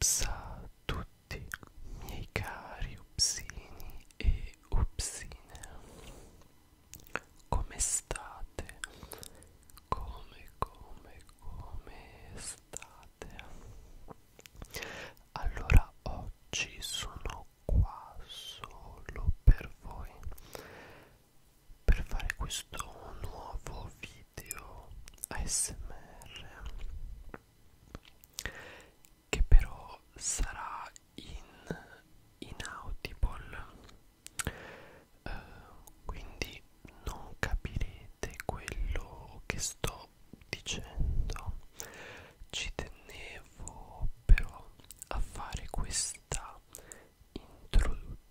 Ups a tutti miei cari upsini e upsine Come state? Come come come state? Latte allora oggi sono qua solo per voi per fare questo nuovo video ASMR che però sarà in inaudible eh, quindi non capirete comprendete quello che sto dicendo ci tenevo però a fare questa introduzione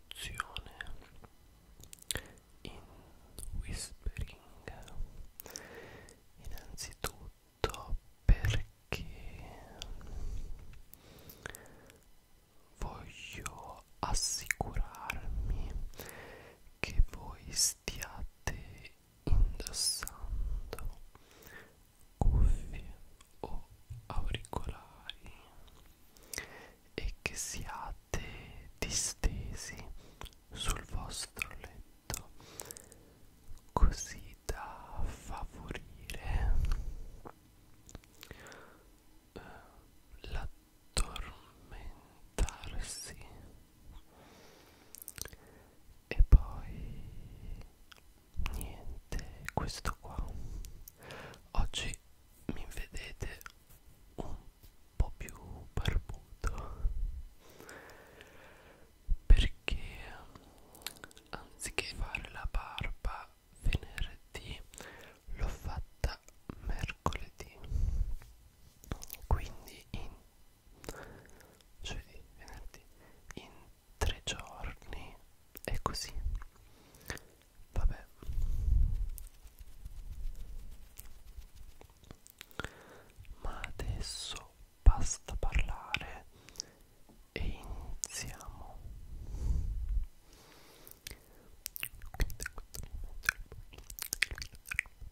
in whispering innanzitutto perché voglio assicurarmi che voi stiate indossando cuffie o auricolari e che siate distesi sul vostro letto così da favorire eh, l'addormentarsi e poi niente questo qua oggi mi vedete un po' più barbuto perché anziché fare la barba venerdì l'ho fatta mercoledì quindi in giovedì, venerdì, in tre giorni è così vabbè ma adesso basta parlare e iniziamo quindi, questo momento è il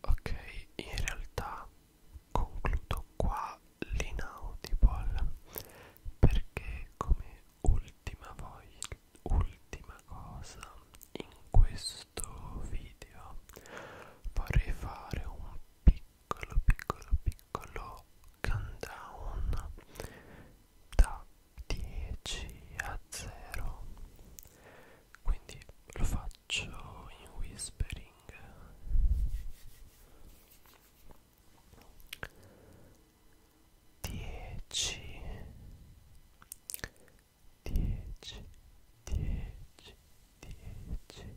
Ok, in realtà concludo qua l'inaudible perché come ultima voglia, ultima cosa in questo video vorrei fare un piccolo piccolo piccolo piccolo countdown da 10 a 0 quindi lo faccio in whispering Dieci, dieci, dieci, dieci,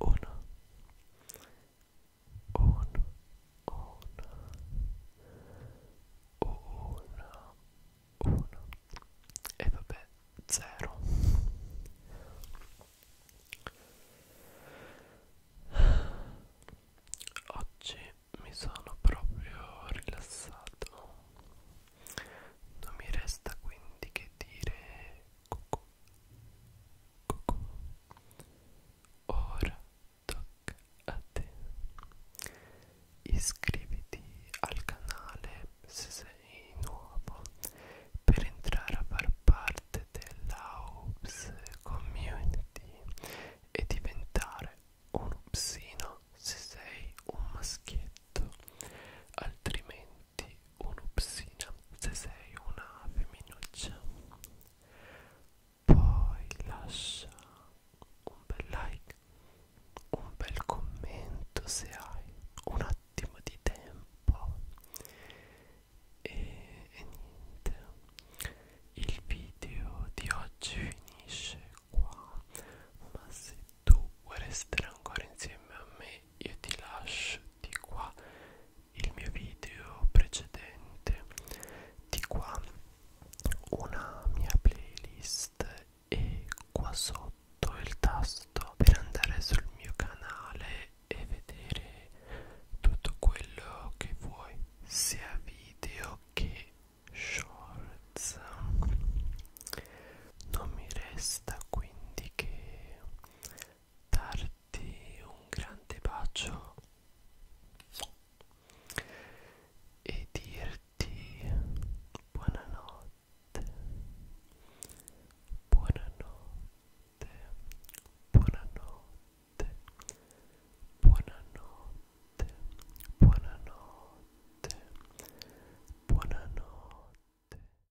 on on on una una e vabbè zero oggi mi sono proprio rilassato non mi resta quindi che dire cucù cucù. Ora tocca a te. Iscriviti al canale se sei nuovo per entrare a far parte dell'Aups Community e diventare un upsino se sei un maschietto altrimenti senti un'upsina se sei una femminuccia poi lascia un bel like un bel commento se hai un attimo di tempo e, e niente il video di oggi finisce qua ma se tu vorresti stare ancora insieme a me io ti lascio di qua il mio video precedente di qua una mia playlist e qua sotto il tasto per andare sul mio canale e vedere tutto quello che vuoi sia video che shorts non mi resta quindi che darti un grande bacio e dirti buonanotte, buonanotte, buonanotte, buonanotte, buonanotte, buonanotte.